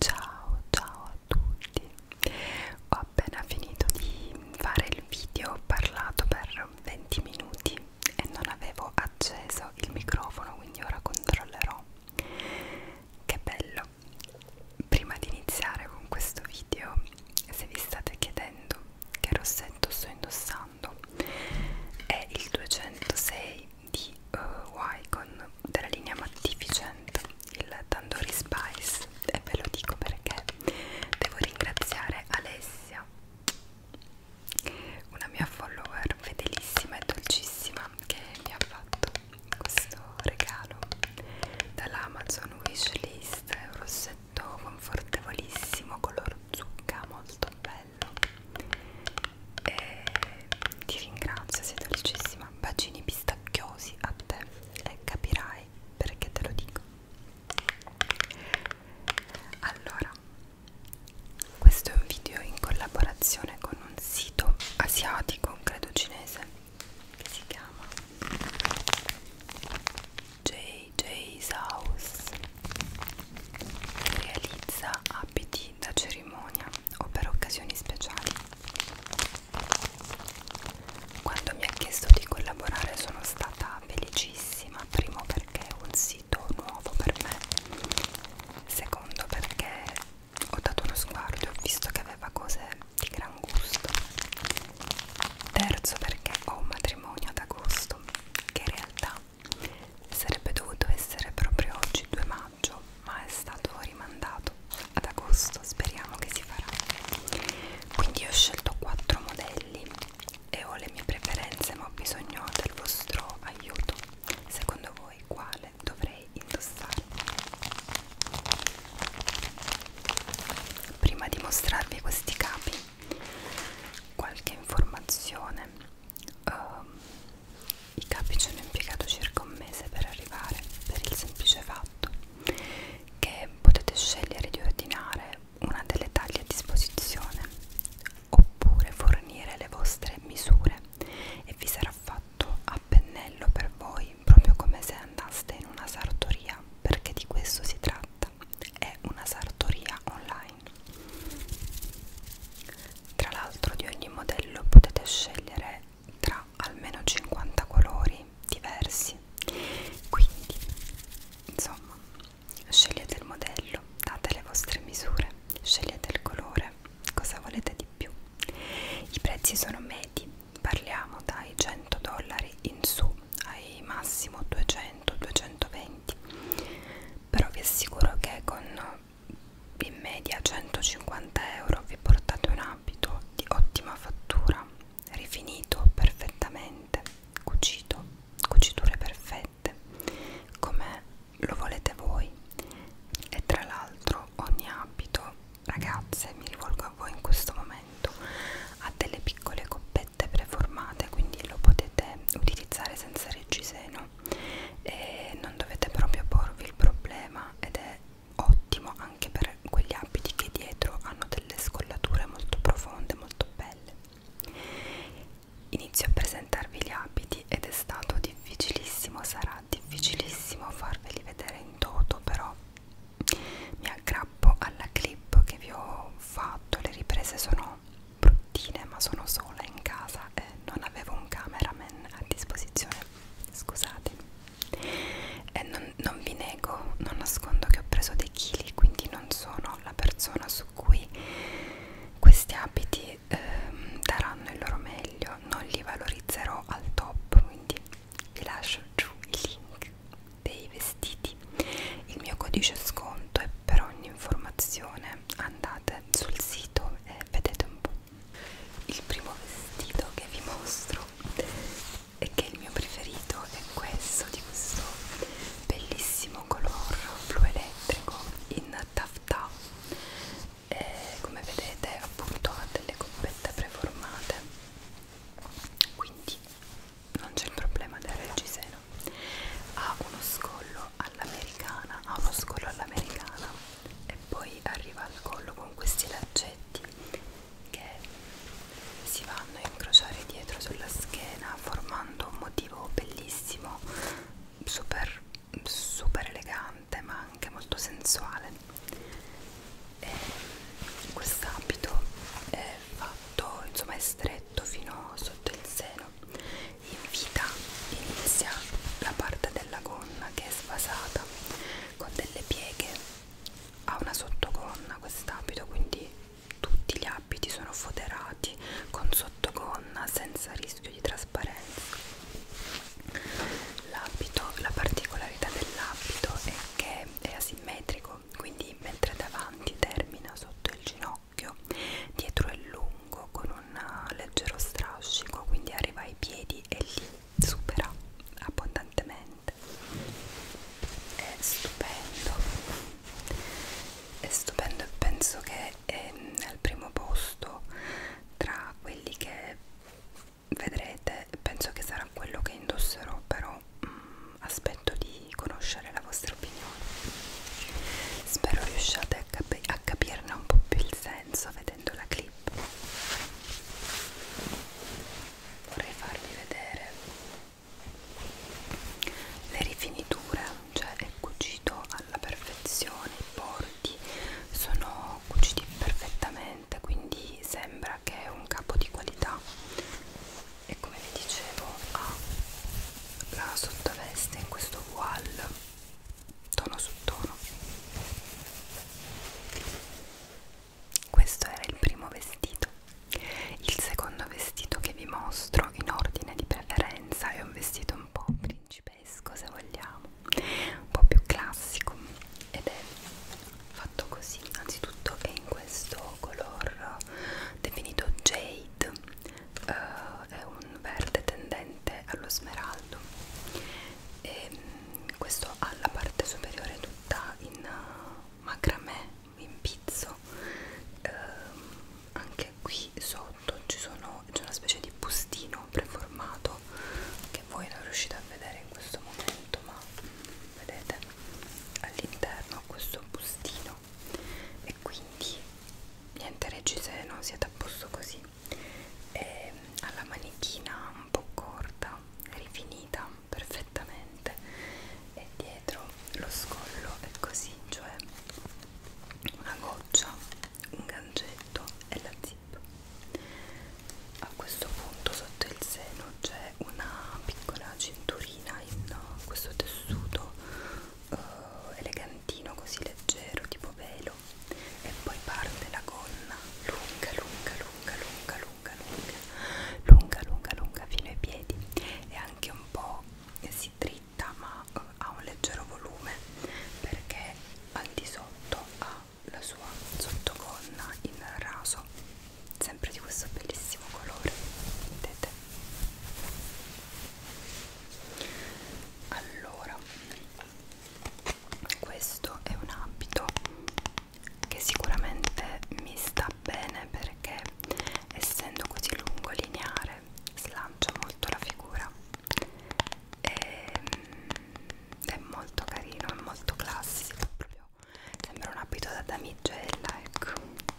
Ciao ciao a tutti, ho appena finito di fare il video, ho parlato per 20 minuti e non avevo acceso il microfono quindi ora controllerò che bello prima di iniziare con questo video se vi state chiedendo che rossetto sto indossando è il 206 di uh, eh, Wycon della linea Magnificent il Tandoori Spice e ve lo dico perché devo ringraziare Alessia una mia follower fedelissima e dolcissima che mi ha fatto questo regalo dall'Amazon Wishlist è un rossetto confortevolissimo color zucca molto bello e ti ringrazio sei dolcissima bacini pistacchiosi a te e capirai perché te lo dico allora questo è un video in collaborazione con un sito asiatico, credo cinese, che si chiama JJ's House che realizza abiti da cerimonia o per occasioni speciali. Quando mi ha chiesto di collaborare sono stata felicissima, primo perché è un sito acquisito nuovo per me secondo perché ho dato uno sguardo e ho visto che aveva cose di gran gusto terzo perché ho un matrimonio ad agosto che in realtà sarebbe dovuto essere proprio oggi 2 maggio ma è stato rimandato ad agosto speriamo che si farà quindi ho scelto quattro modelli e ho le mie preferenze ma ho bisogno del vostro aiuto secondo voi quale dovrei indossare prima di mostrarvi questi capi qualche informazione um, i capi ci hanno impiegato circa un mese per arrivare per il semplice fatto che potete scegliere di ordinare una delle taglie a disposizione oppure fornire le vostre misure e vi sarà fatto a pennello per voi proprio come se andaste in una sartoria perché di questo si tratta è una sartoria online tra l'altro di ogni modello potete scegliere tra almeno 50 colori diversi quindi insomma Scegliete il modello, date le vostre misure, scegliete il colore, cosa volete di più. I prezzi sono medi, parliamo dai 100 dollari in su ai massimo 200-220, però vi assicuro che con in media 150 euro vi portate un abito di ottima fattura, rifinito perfettamente elegante, cucito, cuciture perfette, come lo volete voi. E tra l'altro ogni abito, ragazze, mi rivolgo a voi in questo momento, ha delle piccole coppette preformate, quindi lo potete utilizzare senza reggiseno e non dovete proprio porvi il problema ed è ottimo anche per quegli abiti che dietro hanno delle scollature molto profonde, molto belle. Inizio a presentarvi gli abiti ed è stato difficilissimo, sarà difficilissimo farveli vedere in toto, però mi aggrappo alla clip che vi ho fatto, le riprese sono bruttine ma sono sola in casa e non avevo un cameraman a disposizione, scusate. E non, non vi nego, non nascondo che ho preso dei chili, quindi non sono sono la persona su cui questi abiti eh, daranno il loro meglio, non li valorizzerò al top, quindi vi lascio giù il link dei vestiti. Il mio codice sconto è per ogni informazione andate sul sito e vedete un po'. Il primo vestito che vi mostro e che il mio preferito è questo di questo bellissimo color blu elettrico in taffetà e eh, come vedete appunto ha delle coppette preformate quindi non c'è il problema del reggiseno ha uno scollo all'americana ha uno scollo all'americana e poi arriva al collo con questi laccetti che si vanno a incrociare dietro sulla schiena formando un motivo bellissimo super super elegante ma anche molto sensuale quest'abito è fatto insomma è stretto fino sotto il seno in vita inizia la parte della gonna che è svasata con delle pieghe ha una sottogonna quest'abito quindi tutti gli abiti sono foderati con sottogonna senza rischio di trasparenza l'abito la particolarità dell'abito è che è asimmetrico quindi mentre davanti termina sotto il ginocchio dietro è lungo con un uh, leggero strascico quindi arriva ai piedi e li supera abbondantemente veramente è stupendo è stupendo e penso che è al primo posto tra quelli che vedrete penso che sarà quello che indosserò però mh, mm, aspetto di conoscere la vostra opinione spero riusciate a, capi a capirne un po' più il senso vedendo la clip vorrei farvi vedere le rifiniture cioè è cucito alla perfezione i bordi sono cuciti perfettamente quindi sembra che è un capo di qualità e come vi dicevo ha la sottoveste in questo wall tono su tono questo era il primo vestito. Il secondo vestito che vi mostro in ordine di preferenza è un vestito un po' principesco se vogliamo, un po' più classico ed è fatto così. Anzitutto è in questo color definito jade, uh, è un verde tendente allo smeraldo e mm, questo ha la parte superiore fatta in macramè, in pizzo eh, anche qui sotto ci sono, c'è una specie di bustino preformato che voi non riuscite a vedere in questo momento ma vedete all'interno questo bustino e quindi niente reggi se non siete a posto così e ehm, alla manichina un po' corta rifinita perfettamente e dietro lo scollo è così, cioè una goccia, un gancetto e la zip. A questo punto sotto il seno c'è una piccola cinturina in questo tessuto uh, elegantino, così leggero, tipo velo e poi parte la gonna lunga, lunga, lunga, lunga, lunga, lunga, lunga, lunga, lunga fino ai piedi e anche un po' si dritta ma eh, ha un leggero volume perché al di sotto ha la sua sottogonna in raso, sempre di questo bellissimo colore, vedete? Allora, questo è un abito che sicuramente mi sta bene perché essendo così lungo e lineare slancia molto la figura e, ehm, è molto carino, è molto classico proprio sembra un abito da damigella ecco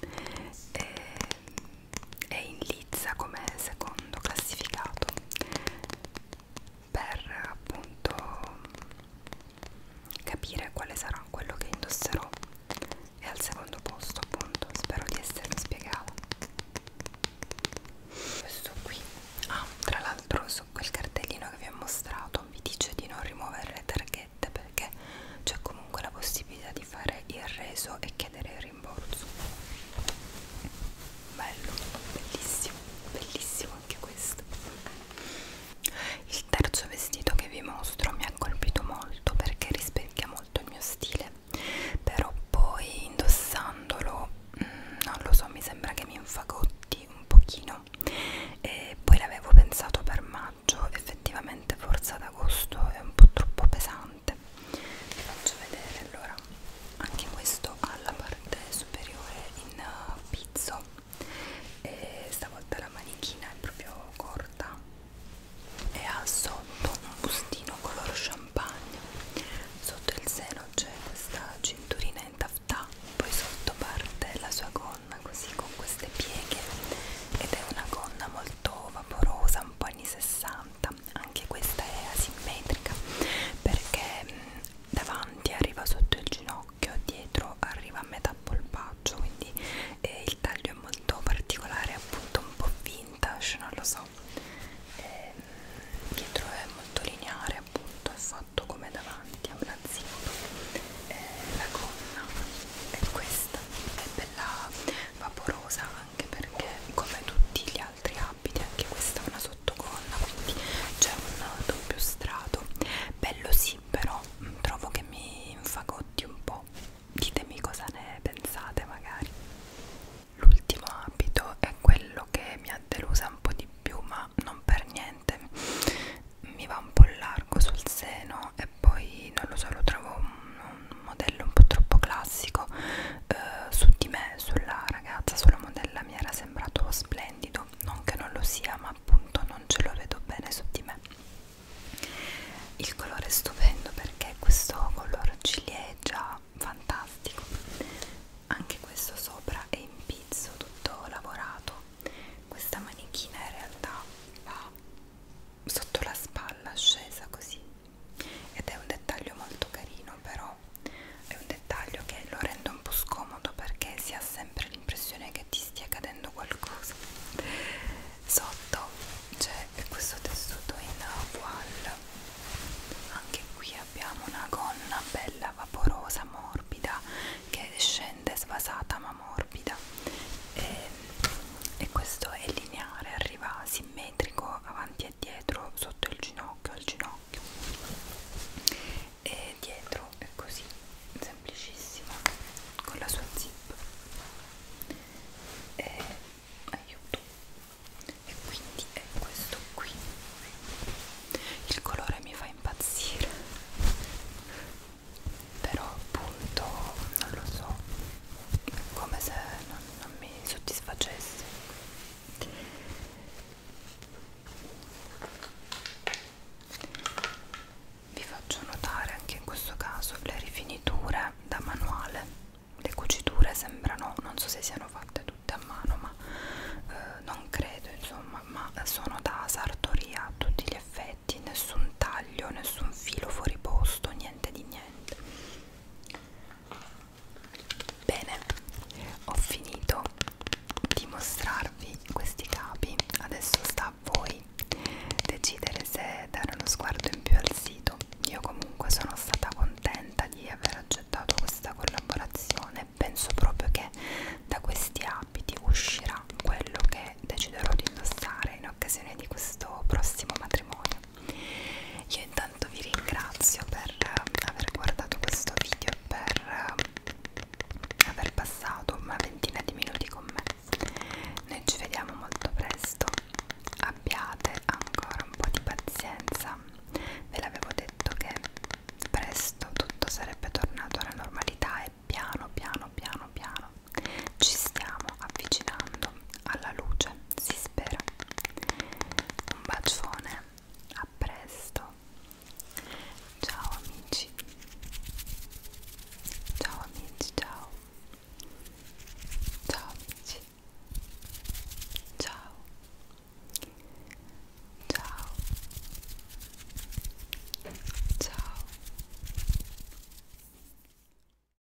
e, ehm, è in lizza come secondo classificato per appunto capire quale sarà quello che indosserò e al secondo posto appunto spero di essermi spiegato questo qui ah tra l'altro su quel cartellino che vi ho mostrato vi dice di non rimuovere le targhette perché c'è comunque la possibilità di fare il reso e chiedere il rimborso bello bellissimo bellissimo anche questo il terzo vestito che vi mostro mi ha colpito molto perché rispecchia molto il mio stile però poi indossandolo mh, mm, non lo so mi sembra che mi infagotti un pochino e poi l'avevo pensato per maggio effettivamente forse ad agosto è un po' troppo pesante vi faccio vedere allora anche questo ha la parte superiore in uh, pizzo e stavolta la manichina è proprio corta e ha sotto un bustino color champagne sotto il seno c'è questa cinturina in taftà poi sotto parte la sua gonna così con queste pieghe ed è una gonna molto vaporosa un po' anni 60 anche questa è asimmetrica perché mh, mm, davanti arriva sotto il ginocchio, dietro arriva a metà polpaccio, quindi eh, il taglio è molto particolare, appunto un po' vintage, non lo so. Eh, dietro è molto lineare, appunto, è fatto come davanti, a una zip. Eh, la gonna è questa, è bella vaporosa anche perché come tutti gli altri altri abiti anche questa è una sottogonna quindi c'è un doppio strato bello sì però mm, trovo che mi infagotti un po' ditemi cosa ne pensate magari l'ultimo abito è quello che mi ha delusa un po' di più ma non per niente mi va un po' largo sul seno e poi non lo so lo trovo un, un modello un po' troppo classico eh, su di me, sulla ragazza, sulla modella mi era sembrato splendido, non che non lo sia, ma appunto non ce lo vedo bene su di me. Il colore è stupendo perché questo color ciliegia fantastico. Anche questo sopra è in pizzo, tutto lavorato. Questa manichina in realtà va sotto la spalla, scesa così ed è un dettaglio molto carino però è un dettaglio che lo rende un po' scomodo perché si ha sempre l'impressione che ti stia cadendo qualcosa sotto c'è questo tessuto in voile anche qui abbiamo una gonna bella vaporosa morbida che scende svasata ma morbida e, e questo è lineare arriva simmetrico avanti davanti e dietro sotto il ginocchio al ginocchio e dietro è così semplicissima con la sua zip e aiuto e quindi è questo qui il colore mi fa impazzire però appunto non lo so come se non, non mi soddisfacesse vi faccio notare anche in questo caso le rifiniture da manuale le cuciture sembrano non so se siano fatte tutte a mano ma eh, non credo insomma ma sono da sartoria a tutti gli effetti nessun taglio nessun filo fuori posto niente di niente Bene, ho finito di mostrarvi questi capi, adesso sta a voi decidere se dare uno sguardo in più al sito. Io comunque sono stata contenta di aver accettato questa collaborazione, penso proprio che da questi abiti uscirà quello che deciderò di indossare in occasione di questo prossimo matrimonio. Io intanto vi ringrazio per eh, aver guardato questo video e per eh, aver passato una ventina di minuti con me. Noi ci vediamo molto presto. Abbiate ancora un po' di pazienza. Ve l'avevo detto che presto tutto sarebbe tornato alla normalità e piano piano piano piano ci stiamo avvicinando alla luce si spera un bacione a presto ciao amici ciao amici ciao ciao amici ciao ciao ciao